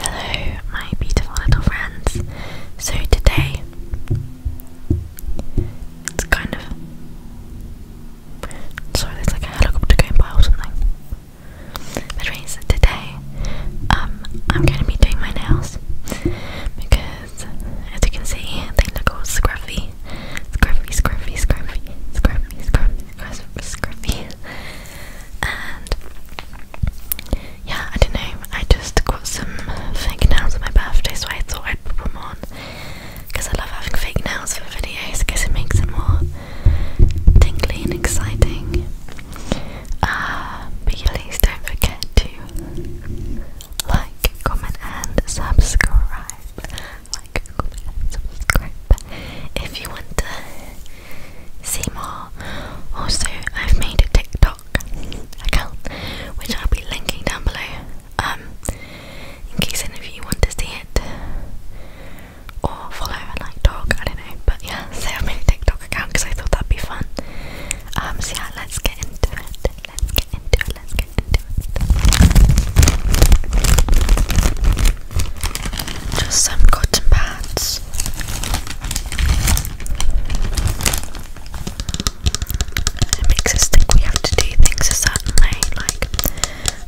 Hello, my beautiful little friends. So, today it's kind of sorry, there's like a helicopter going by or something. But, anyways, today um, I'm going to be doing my nails because as you can see they look all scruffy. Scruffy, scruffy, scruffy, scruffy, scruffy, scruffy, And yeah, I don't know, I just got some fake nails on my birthday so I thought I'd put them on. Because I love having fake nails for videos because it makes it more tingly and exciting. Ah, but please don't forget to like, comment, and subscribe. Like, comment, and subscribe if you want to see more. Also, I've made a TikTok account which I'll be linking down below. Um, in case any of you want to see it or follow and like talk, I don't know. But yeah, so I made a TikTok account because I thought that'd be fun. Um, so yeah, let's get into it. Let's get into it. Let's get into it. Just some cotton pads. It makes us think we have to do things a certain way, like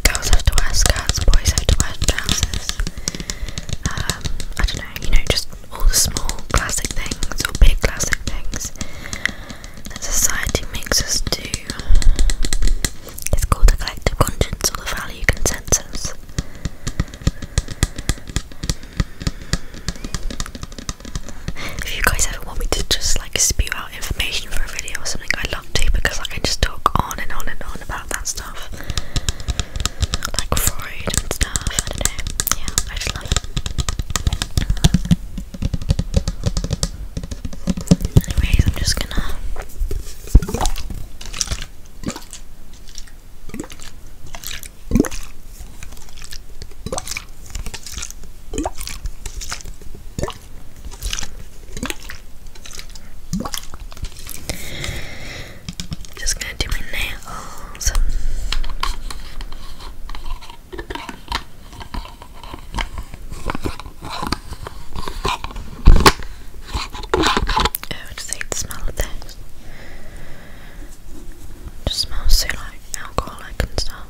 girls have to wear skirts, boys have to wear trousers. Um, I don't know, you know, just all the small classic things or big classic things that society makes us do. It's called the collective conscience or the value consensus. If you guys ever want me to just like spew out information for a video or something, i love to because like I just talk on and on and on about that stuff like fried and stuff. I don't know. Yeah, I just love it. Anyways, I'm just gonna just gonna do my nails. I oh, just hate the smell of this. It just smells so like alcoholic and stuff.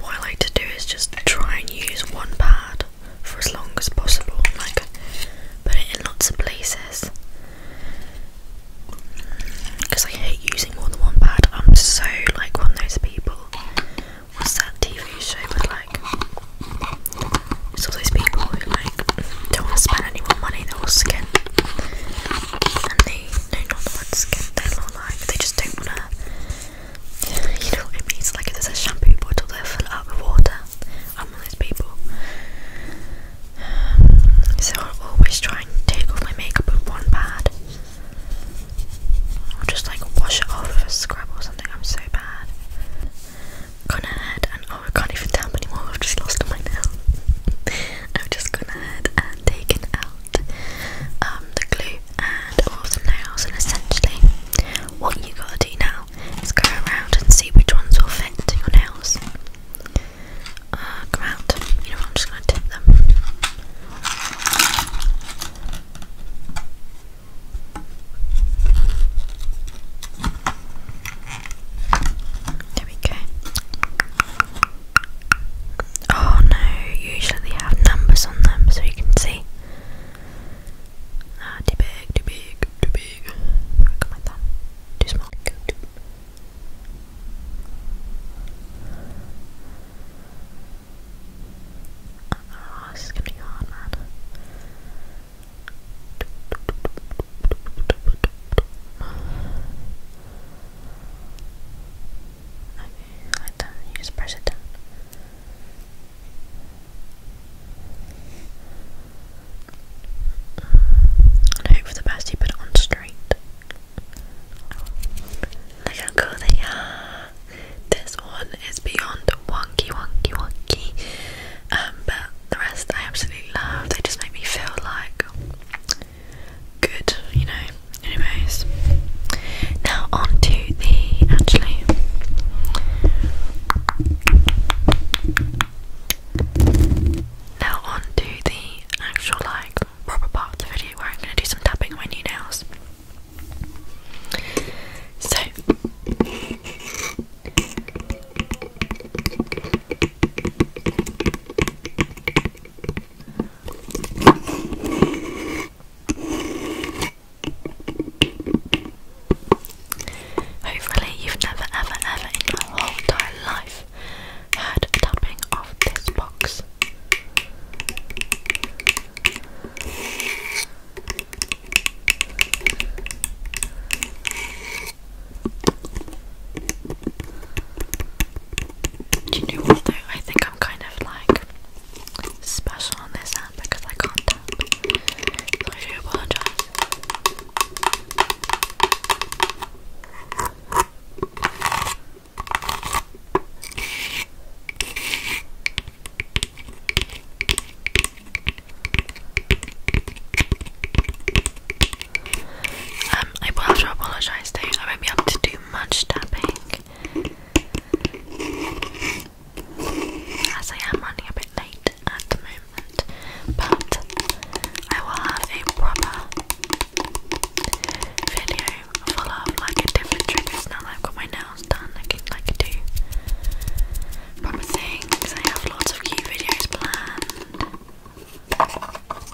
What I like to do is just try and use one pad for as long as possible, like put it in lots of places. Because I hate using more than one pad. I'm so like one of those people. What's that TV show with like it's all those people who like don't want to spend any more money, they're And they no not the ones they're like they just don't wanna you know what I mean? like if there's a shampoo bottle they fill up with water. I'm one of those people. so i always try and take off my makeup with one pad. I'll just like wash it off scrub or something. I'm so bad. Gone ahead and oh, I can't even tap anymore. I've just lost my nail. I've just gone ahead and taken out um, the glue and all oh, the nails. And essentially, what you gotta do now now is go around and see which ones will fit to your nails. Uh, come out. You know what, I'm just going to tip them. There we go. Oh no, usually have numbers on them so you can see. Ah, too big, too big, too big. I got my thumb. Too small. Go too. Oh, this is gonna be hard, man. Okay, like that. You just press it down. And I the best you put it on straight. Look how cool they are. This one is beyond wonky, wonky, wonky. Um, but the rest I absolutely love. They just make me feel like good, you know. Anyways, now on to the actually. Now on to the actual like proper part of the video where I'm gonna do some tapping on my new nails. So Hopefully, you've never, ever, ever in your whole entire life heard tapping of this box. Do you know what though? I think I'm kind of like special on this app because I can't tap. I do apologize. Um, I will have to apologize I won't be able to do much tapping as I am running a bit late at the moment, but I will have a proper video full of like a different triggers now that I've got my nails done. I can like do proper things. I have lots of cute videos planned.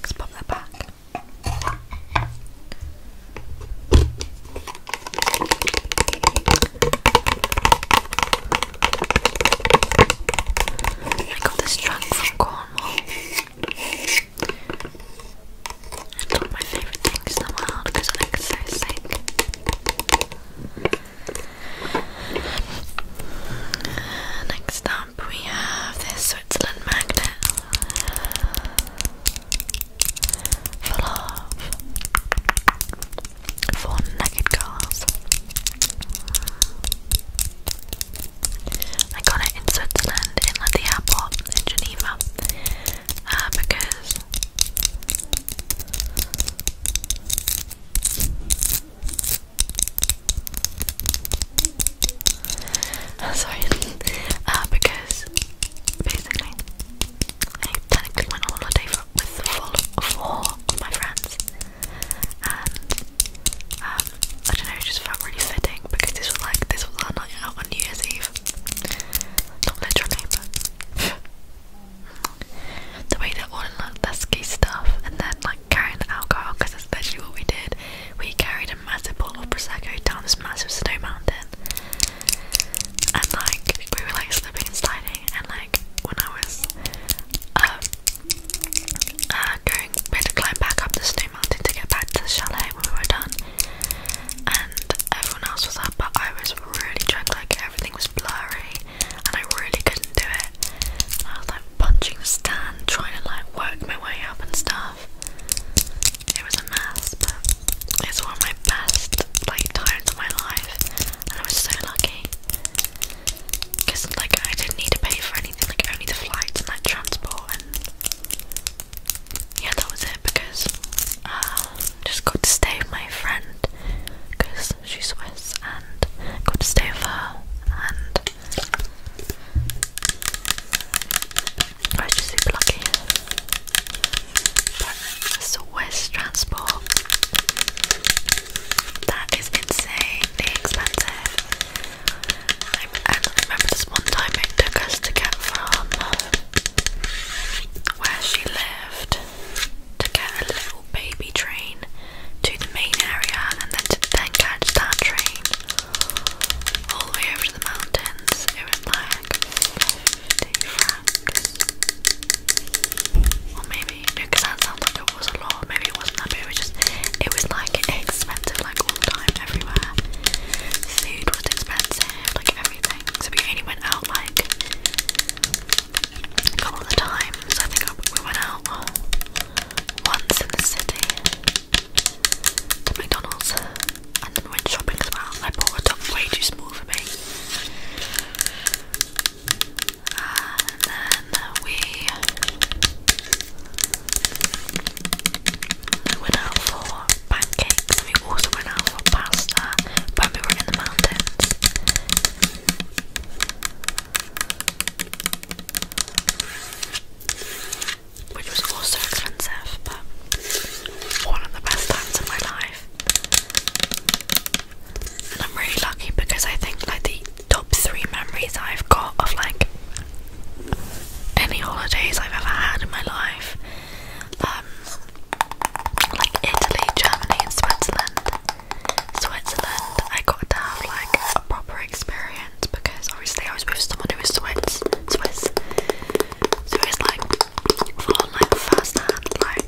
Let's pop that back. I got this trunk from Cornwall. And all my favourite things in the world because I think it's so sick. Uh, next up we have this Switzerland magnet. For love. For naked girls. I got it in Switzerland, in like the airport in Geneva, uh, because uh, sorry, uh, because basically I technically went on holiday with four of my friends and um, I don't know, it just felt really fitting because this was like this was our night out on New Year's Eve. Not literally, but the way that all the lusky stuff and then like carrying the alcohol because that's literally what we did. We carried a massive bottle of prosecco down this massive snow mountain, and like we were like slipping and sliding. And like when I was um uh, going, we had to climb back up the snow mountain to get back to the chalet when we were done, and everyone else was up, but I was really drunk, like everything was blurry, and I really couldn't do it. I was like punching the stand, trying to like work my way up and stuff. It was a mess, but it was one of my best like times of my life, and I was so lucky. Cause like I didn't need to pay for anything, like only the flights and like transport and yeah, that was it because um just got to stay with my friend because she's Swiss and got to stay with her and I was just super lucky. But Swiss transport that is insanely expensive. and remember this one time it took us to get from uh, where she lived to get a little baby train to the main area and then to then catch that train all the way over to the mountains. It was like 50 because that sounds like it was a lot. Maybe it wasn't that big. It was just it was like expensive, like all the time, everywhere. Food was expensive, like everything. So we only went out like a couple of times. So I think we went out once in the city to McDonald's, and then we went shopping as well. I bought a top way too small for me we went out for pancakes. We also went out for pasta when we were in the mountains. Which was also expensive, but one of the best times of my life. I'm really lucky because I think like the top three memories I've got of like any holidays I've ever had in my life, um, like Italy, Germany, and Switzerland. Switzerland, I got to have like a proper experience because obviously I was with someone who was Swiss, Swiss. Swiss, like full on like first hand like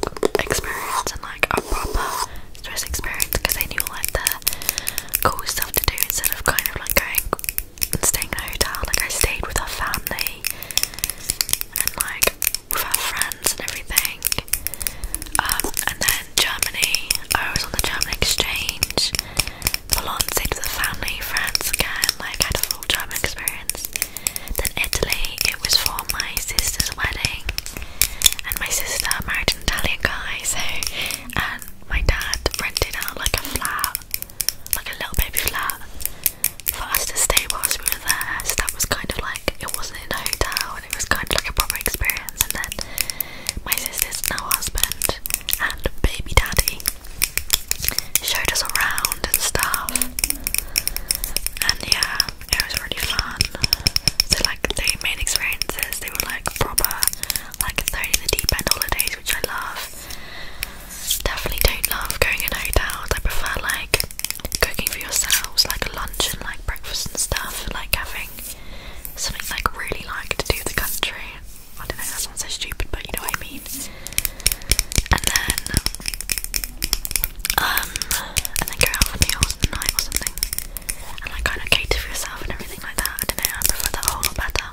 experience and like a proper stress experience because I knew like the cool stuff to do instead of kind of like going and staying in a hotel. Like I stayed with our family and like with her friends and everything. Um, and then Germany, I was on the German exchange. Milan stayed with the family, friends again. Like had a full German experience. Then Italy, it was for my sister's wedding, and my sister married an Italian guy, so and my dad rented out like a flat, like a little baby flat, for us to stay whilst we were there. So that was kind of like it wasn't in a hotel, and it was kind of like a proper experience. And then my sister's now husband and baby daddy showed us around and stuff, and yeah, it was really fun. So like the main experiences, they were like proper, like throwing in the deep end holidays, which I love. Definitely don't love going in hotels. I prefer like cooking for yourselves, like lunch and like breakfast and stuff, like having something like really like to do the country. I don't know, that sounds so stupid, but you know what I mean. And then um, and then go out for the night or something, and like kind of cater for yourself and everything like that. I don't know, I prefer that a lot better.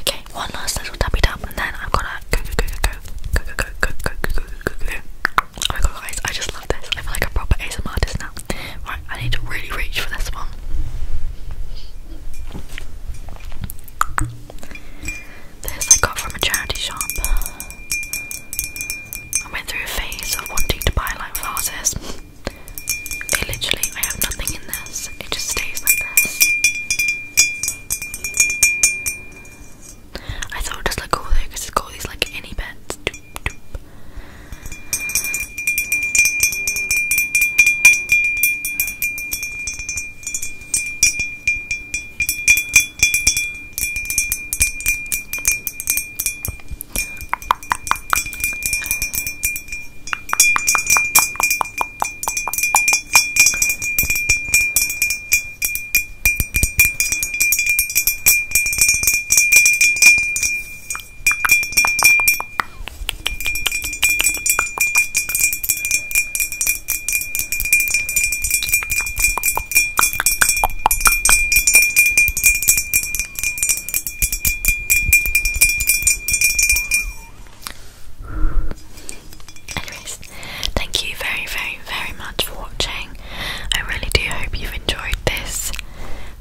Okay, one last little tappy tap, and then I've got to go go go go go go go go go go go go go. Oh my god, guys, I just love this. I feel like a proper ASMR artist now. Right, I need to really reach for this one. This I got from a charity shop. I went through a phase of wanting to buy like vases. literally, I have nothing in this, it just stays like this. I thought it would just look cool though because it's these like innie bits. Anyways, thank you very, very, very much for watching listening. I really do hope you've enjoyed this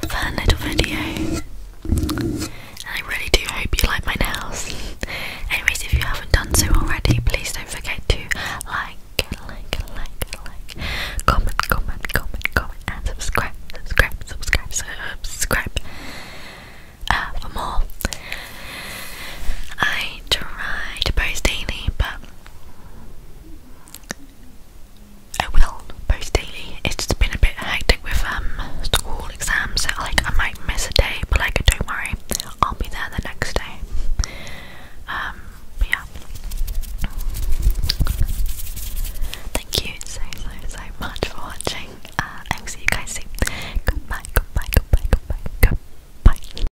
fun little video. And I really do hope you like my nails. Anyways, if you haven't done so already, please don't forget to like, like, like, like, comment, comment, comment, comment, and subscribe, subscribe, subscribe, subscribe uh, for more. I try to post daily, but I post daily. It's just been a bit hectic with um school exams. So, like I might miss a day, but like don't worry, I'll be there the next day. Um, yeah. Thank you so so so much for watching. Uh, I will see you guys soon. Goodbye, goodbye, goodbye, goodbye, goodbye.